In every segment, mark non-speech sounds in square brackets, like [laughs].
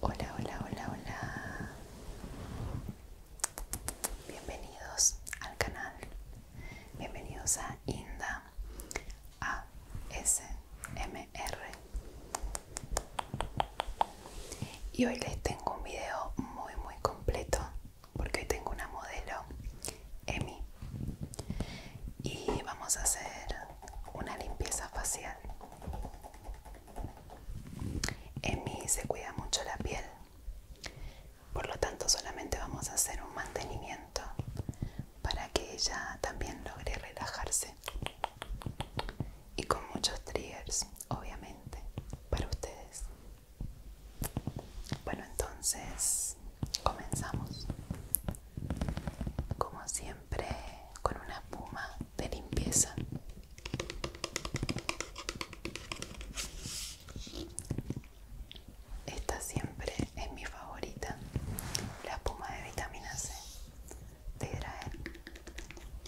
Hola, hola, hola, hola. Bienvenidos al canal. Bienvenidos a Inda ASMR. Y hoy les tengo un video muy muy completo porque hoy tengo una modelo, Emi, y vamos a hacer una limpieza facial. Emi se cuida mucho la piel, por lo tanto solamente vamos a hacer un mantenimiento para que ella también logre relajarse y con muchos triggers, obviamente, para ustedes. Bueno, entonces comenzamos. Como siempre, con una espuma de limpieza. Esta siempre es mi favorita, la espuma de vitamina C de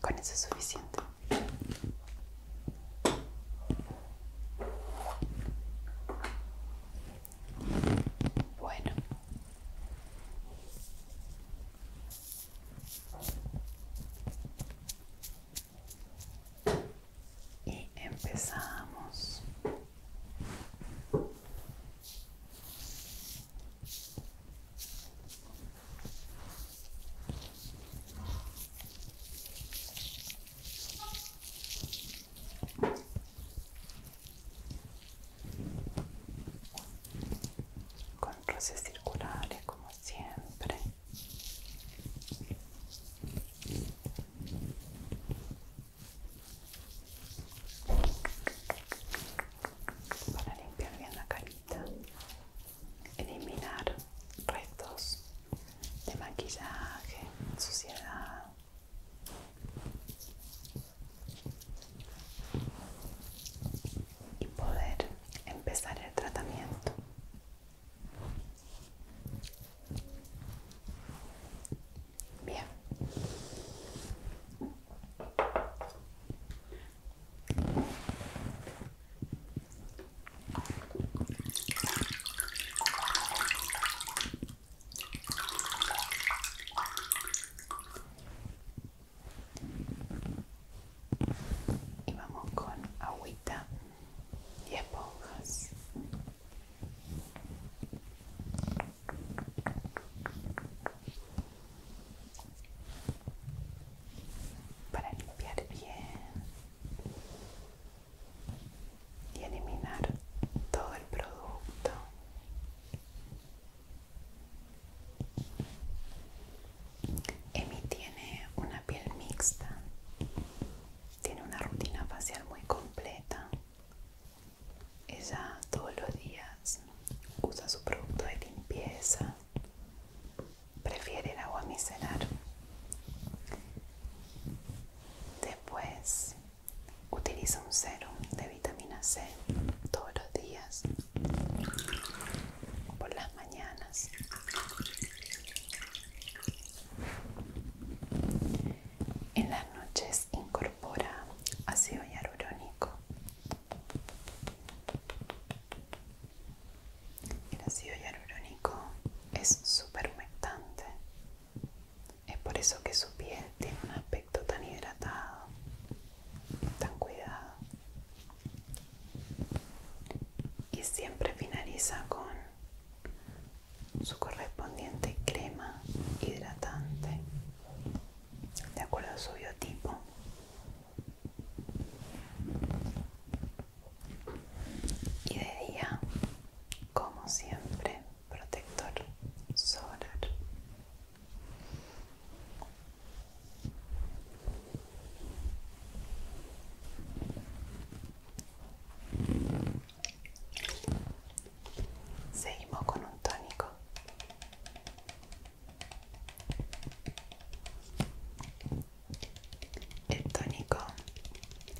Con eso es suficiente. Bueno. Y empezamos con roces circulares como siempre para limpiar bien la carita, eliminar restos de maquillaje, suciedad. Y poder empezar el tratamiento. Bien. Y vamos con agüita y esponjas para limpiar bien y eliminar todo el producto. Emi tiene una piel mixta, tiene una rutina facial muy completa ella todos los días usa su producto de limpieza, prefiere el agua micelar. Después utiliza un serum de vitamina C todos los días, por las mañanas. En las noches incorpora ácido hialurónico. El ácido hialurónico es súper humectante. Es por eso que su piel tiene un aspecto tan hidratado, tan cuidado. Y siempre finaliza con su correspondiente crema hidratante de acuerdo a su biotipo. Y de día, como siempre, protector solar. Seguimos con un tónico. El tónico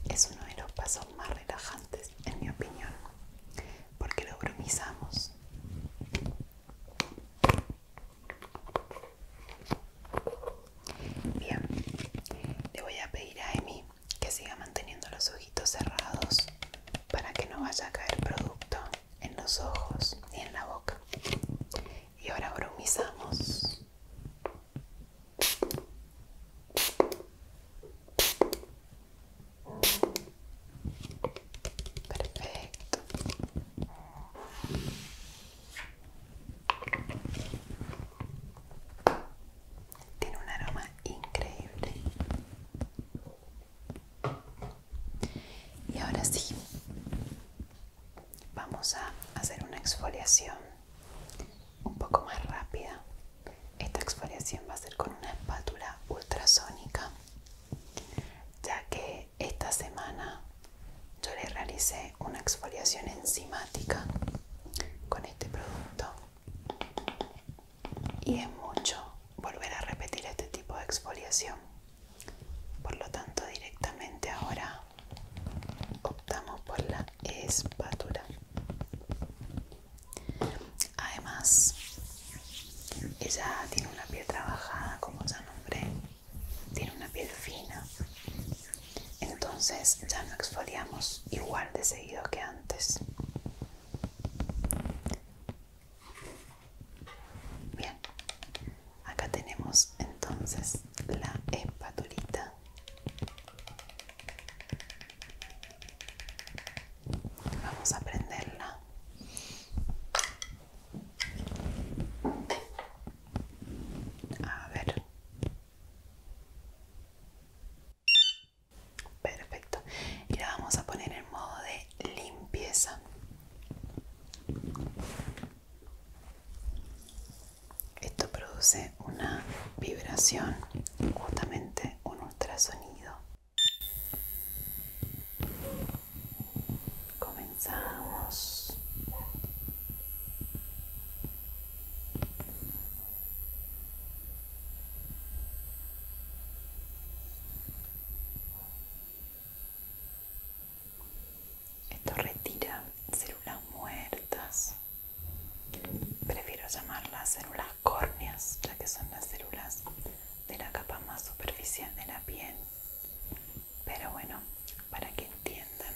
es uno de los pasos más relajantes, en mi opinión, porque lo bromizamos. Bien, le voy a pedir a Emi que siga manteniendo los ojitos cerrados para que no vaya a caer producto en los ojos ni en la boca. Y ahora bromizamos. Perfecto. Tiene un aroma increíble. Y ahora sí, vamos a hacer una exfoliación un poco más rápida. Esta exfoliación va a ser con una espátula ultrasónica, ya que esta semana yo le realicé una exfoliación enzimática con este producto y es mucho volver a repetir este tipo de exfoliación. Por lo tanto, directamente ahora optamos por la espátula. Además, ella tiene una piel trabajada, como ya nombré, tiene una piel fina. Entonces ya no exfoliamos igual de seguido que antes. Bien, acá tenemos entonces la espatulita. Vamos a prenderla. A ver. Perfecto. Y la vamos a poner en modo de limpieza. Esto produce una vibración, justamente un ultrasonido. Comenzamos. Esto retira células muertas. Prefiero llamarlas células córneas, ya que son las células de la capa más superficial de la piel. Pero bueno, para que entiendan,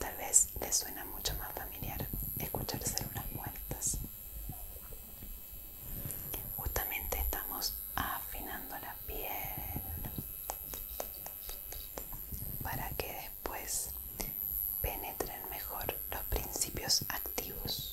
tal vez les suena mucho más familiar escuchar células muertas. Justamente estamos afinando la piel para que después penetren mejor los principios activos.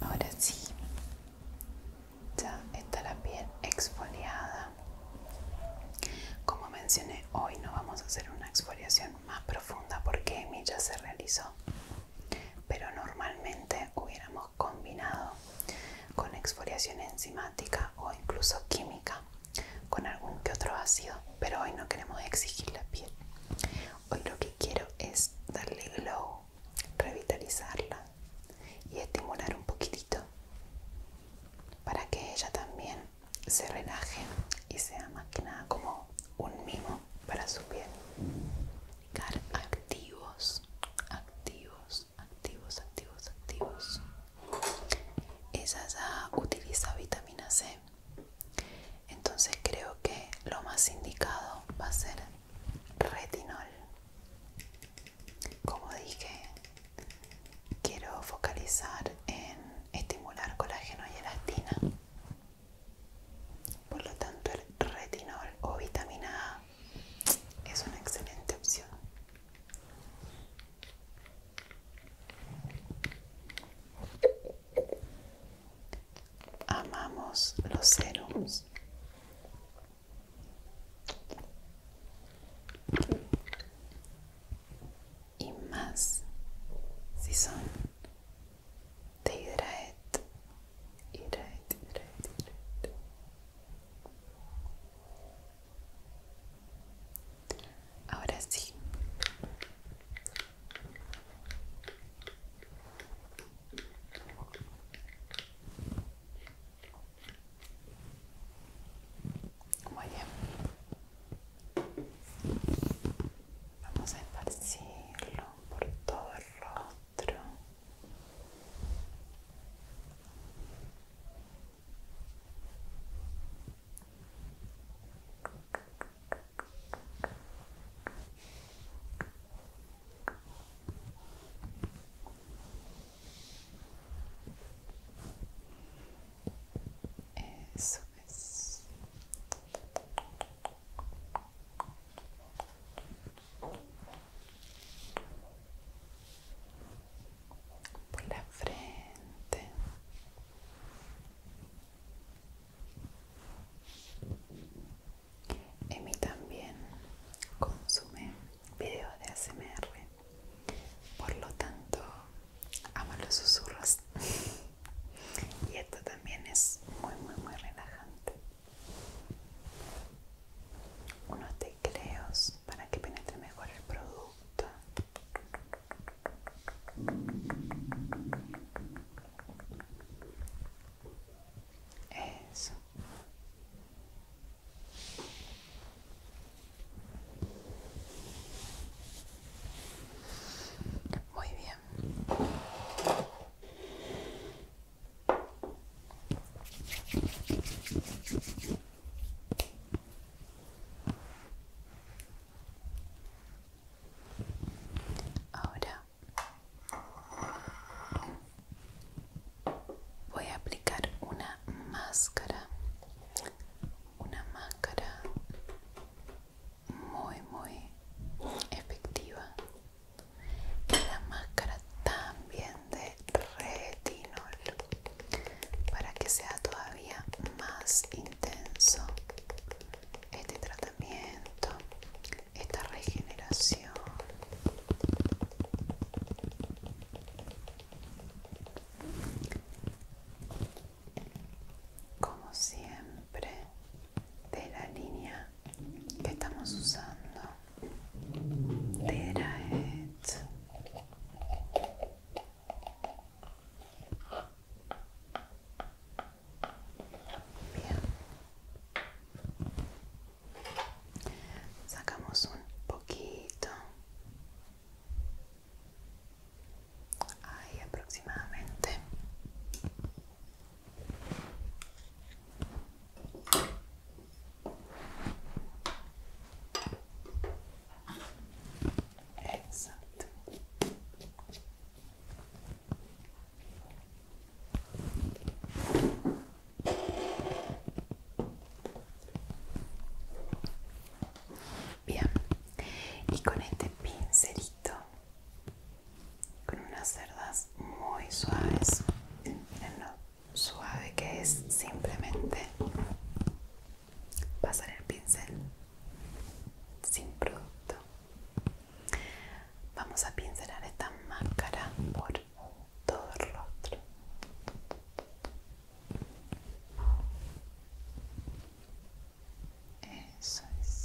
Ahora sí, ya está la piel exfoliada. Como mencioné, hoy no vamos a hacer una exfoliación más profunda porque mi ya se realizó, pero normalmente hubiéramos combinado con exfoliación enzimática o incluso química con algún que otro ácido, pero hoy no queremos exigir la piel. Hoy lo que quiero es darle glow revitalizarla y estimular un poquitito para que ella también se relaje y sea más que nada como un mimo para su piel. Car activos, activos, activos, activos, activos. Ella ya utiliza vitamina C, entonces creo que lo más indicado va a ser retinol. Como dije, quiero focalizar en estimular colágeno y elastina. Por lo tanto, el retinol o vitamina A es una excelente opción amamos los serums. Y más si son de hidraet, hidraet, hidraet, hidraet. Ahora sí. Muy bien. Vamos a esparcirlo por todo el rostro. Eso es. Por la frente. Emi también consume videos de ASMR, por lo tanto amo los susurros [laughs] y esto también es muy muy muy relajante. Unos tecleos para que penetre mejor el producto. Eso. Muy bien. Ahora Voy a aplicar una máscara, una máscara muy muy efectiva. Y la máscara también de retinol para que sea todavía más intenso este tratamiento esta regeneración como siempre de la línea que estamos usando de Sacamos un poquito. Ahí aproximadamente. Exacto. Bien, y con este pincelito, con unas cerdas muy suaves, miren lo suave que es, simplemente pasar el pincel sin producto. Vamos a pincelar esta máscara por todo el rostro. Eso es.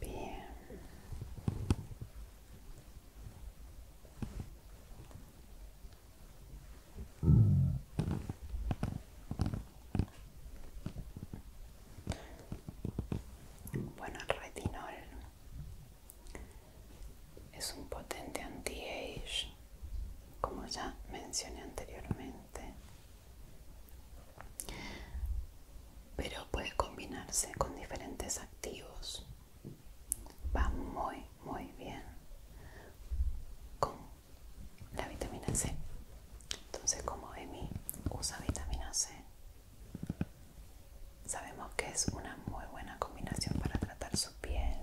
Bien. Bueno, retinol es un potente anti-age, como ya mencioné anteriormente, pero puede combinarse con diferentes activos. Va muy, muy bien con la vitamina C. Entonces, como Emi usa vitamina C, sabemos que es una muy buena combinación para tratar su piel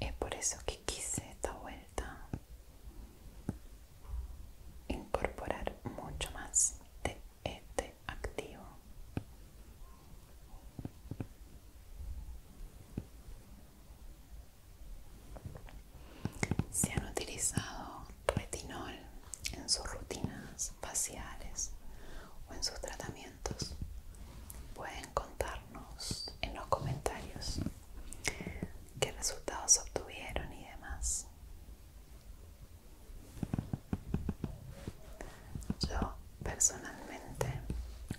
es por eso que quise esta vuelta incorporar mucho más de este activo si han utilizado retinol en sus rutinas faciales o en sus tratamientos. Pueden contarnos en los comentarios qué resultados obtuvieron y demás. Yo personalmente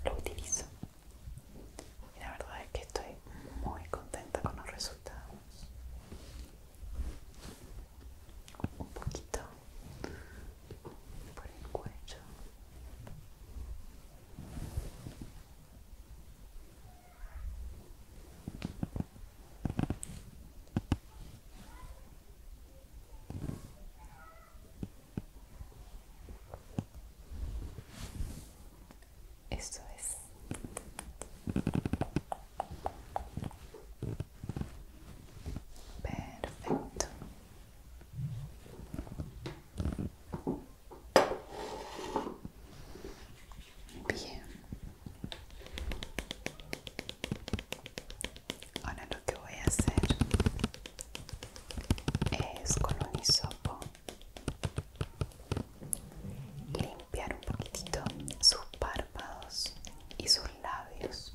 lo utilizo y la verdad es que estoy muy contenta con los resultados. Un poquito por el cuello esto es. Perfecto. Bien. Ahora lo que voy a hacer es con un limpiar un poquitito sus párpados y sus labios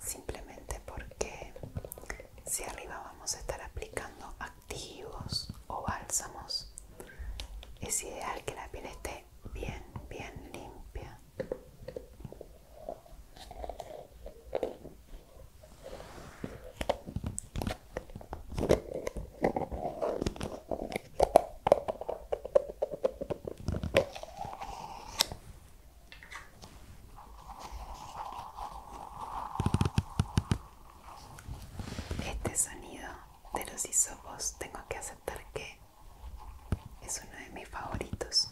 simplemente porque si arriba vamos a estar aplicando activos o bálsamos es ideal que la piel esté bien bien limpia este sonido de los isopos tengo que aceptar que es uno de mis favoritos.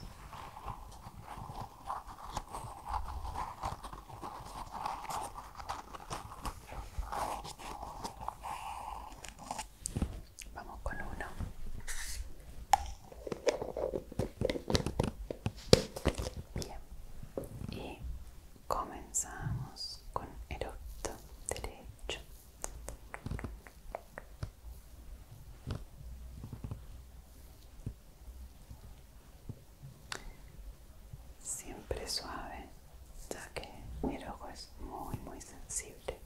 Vamos con uno. Bien. Y comenzamos con el otro derecho siempre suave ya que mi ojo es muy muy sensible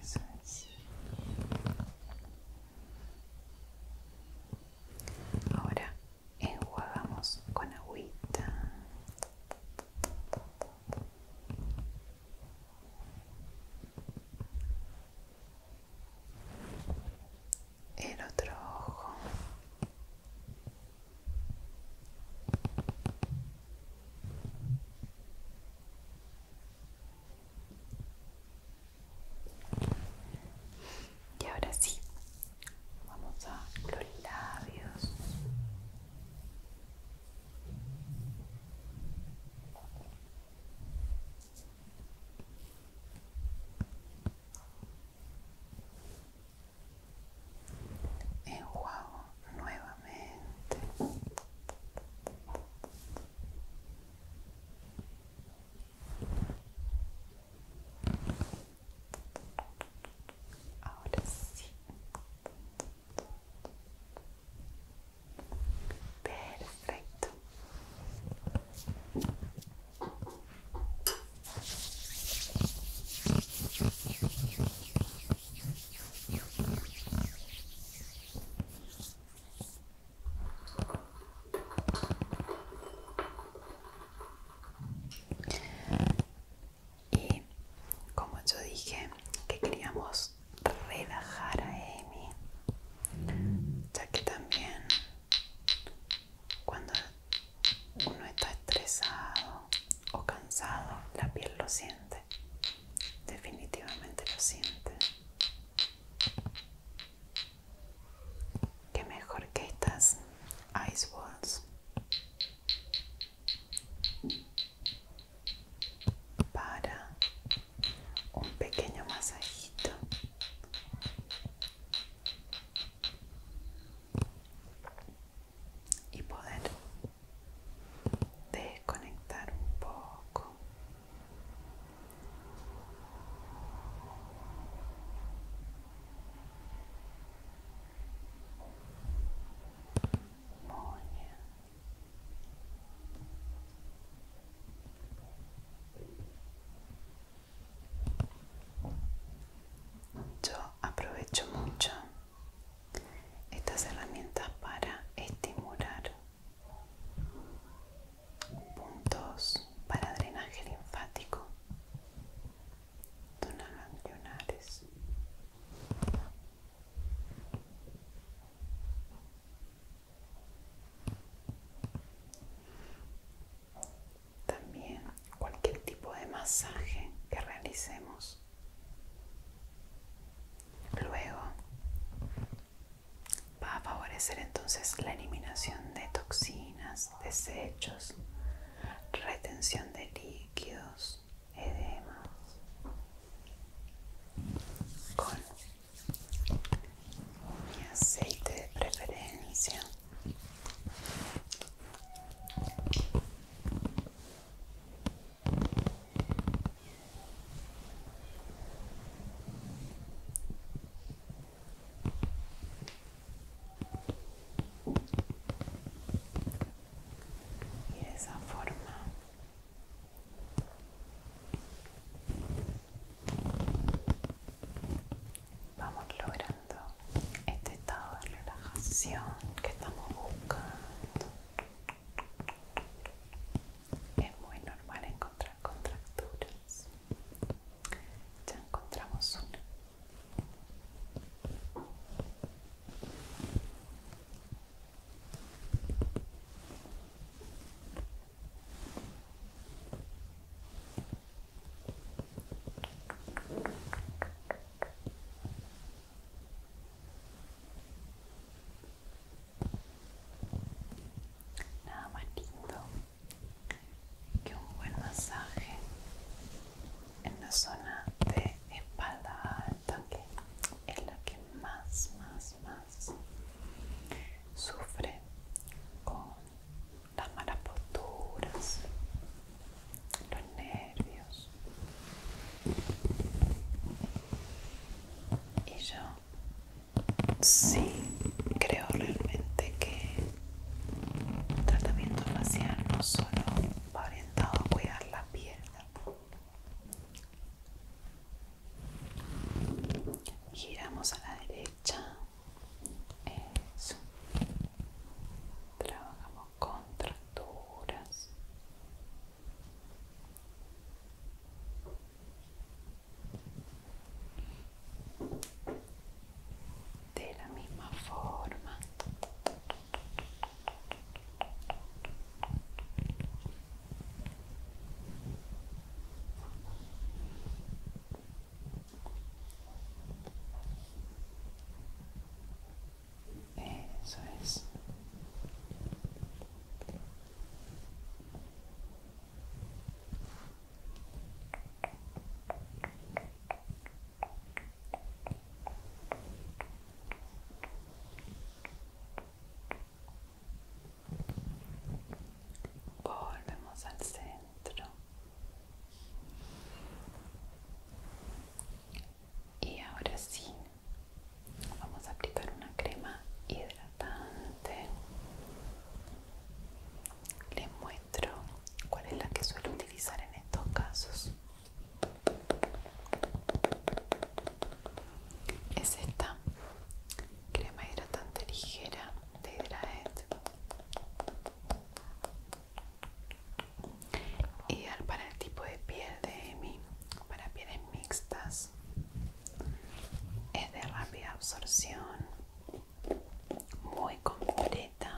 eso es ahora enjuagamos con agüita el otro ojo y ahora sí vamos a los labios Enjuago nuevamente. Ahora sí. Perfecto y como yo dije que queríamos relajar a Amy ya que también cuando uno está estresado o cansado la piel lo siente definitivamente lo siente que mejor que estas ice balls para un pequeño masajito y poder desconectar un poco yo aprovecho mucho estas herramientas para estimular puntos para drenaje linfático también cualquier tipo de masaje que realicemos. Luego va a favorecer entonces la eliminación de toxinas, desechos, retención de líquidos, edemas con mi aceite de preferencia y de esa forma vamos logrando este estado de relajación que estamos buscando es muy normal encontrar contracturas ya encontramos una Nada ah, más lindo que un buen masaje en la zona de espalda alta que es la que más, más, más sufre con las malas posturas, los nervios. Y yo sí creo realmente que el tratamiento facial no solo va orientado a cuidar la piel, Giramos a la derecha. trabajamos Trabajamos contracturas. De la misma forma. Eso es. Volvemos al centro y ahora sí vamos a aplicar una crema hidratante les muestro cuál es la que suelo utilizar en estos casos es esta crema hidratante ligera de Hydraet ideal para el tipo de piel de Emi para pieles mixtas es de rápida absorción muy completa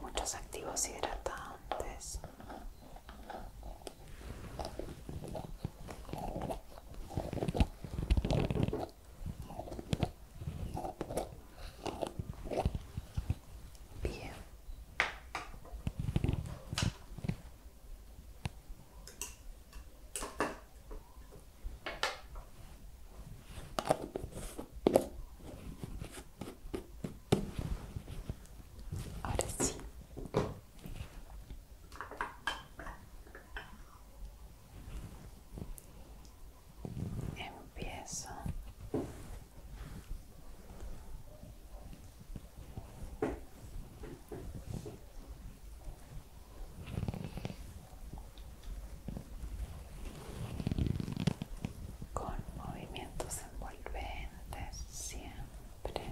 muchos activos hidratantes. Bien. Ahora sí. Empiezo. con movimientos en siempre.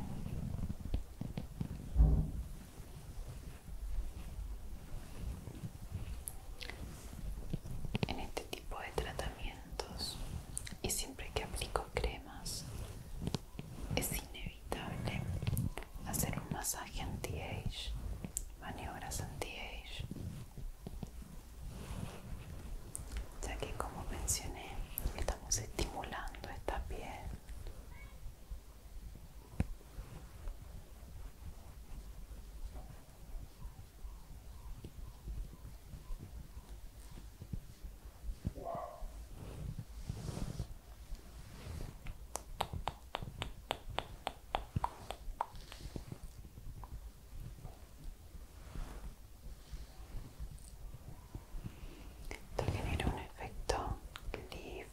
En este tipo de tratamientos y siempre que aplico cremas es inevitable hacer un masaje anti-age, maniobras anti-age ya que como mencioné estamos estimulando esta piel esto genera un efecto lifting.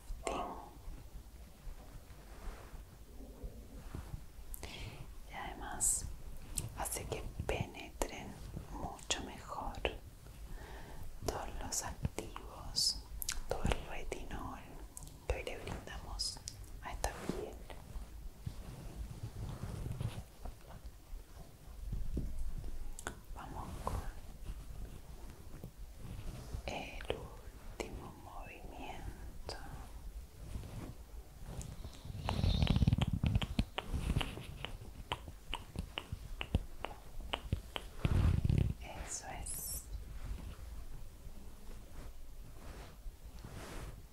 Y además hace que penetren mucho mejor todos los activos, todo el retinol que hoy le brindamos a esta piel. Vamos con el último movimiento. Eso es.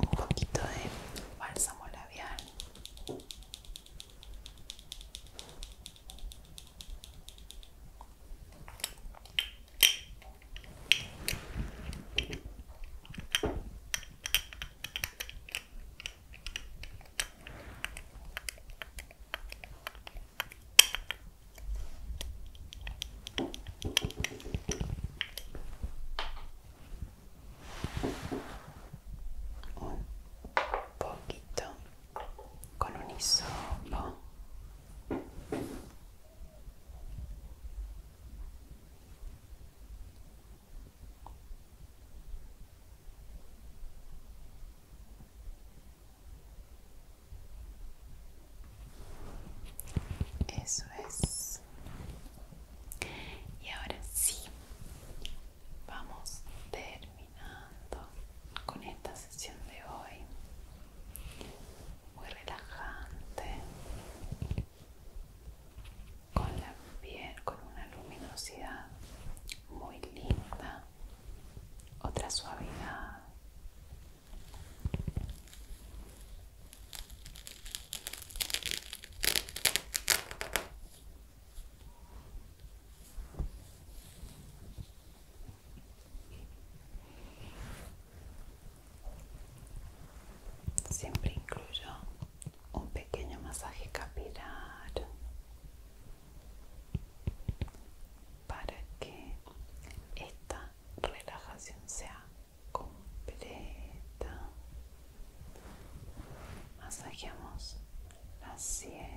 un poquito de bálsamo labial un poquito con un hisopo eso es y ahora sí, vamos terminando con esta sesión de hoy. Muy relajante. Con la piel, con una luminosidad muy linda. Otra suavidad. Siempre incluyo um pequeno masaje capilar para que esta relajación sea completa. Masajeamos las sienes.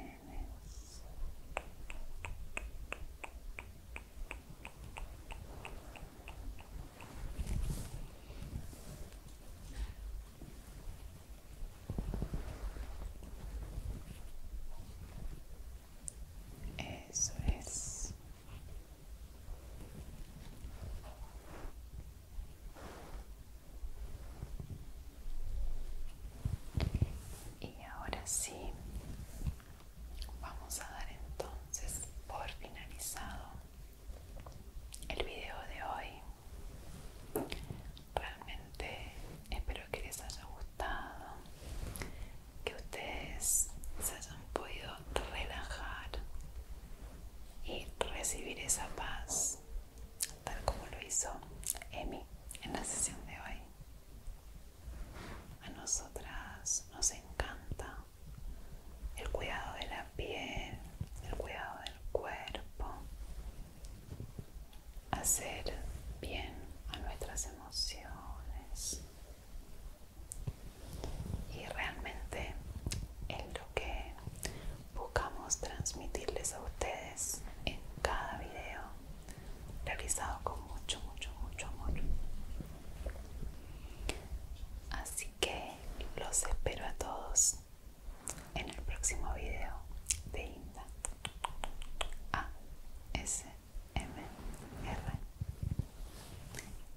Eso es. Y ahora sí, vamos a dar entonces por finalizado el video de hoy. Realmente espero que les haya gustado, que ustedes se hayan podido relajar y recibir esa paz tal como lo hizo Emi en la sesión de hoy. A nosotras nos encanta el cuidado de la piel, el cuidado del cuerpo, hacer bien a nuestras emociones, y realmente es lo que buscamos transmitirles a ustedes en cada video realizado con mucho mucho mucho amor así que los espero a todos en el próximo video de Inda A S M R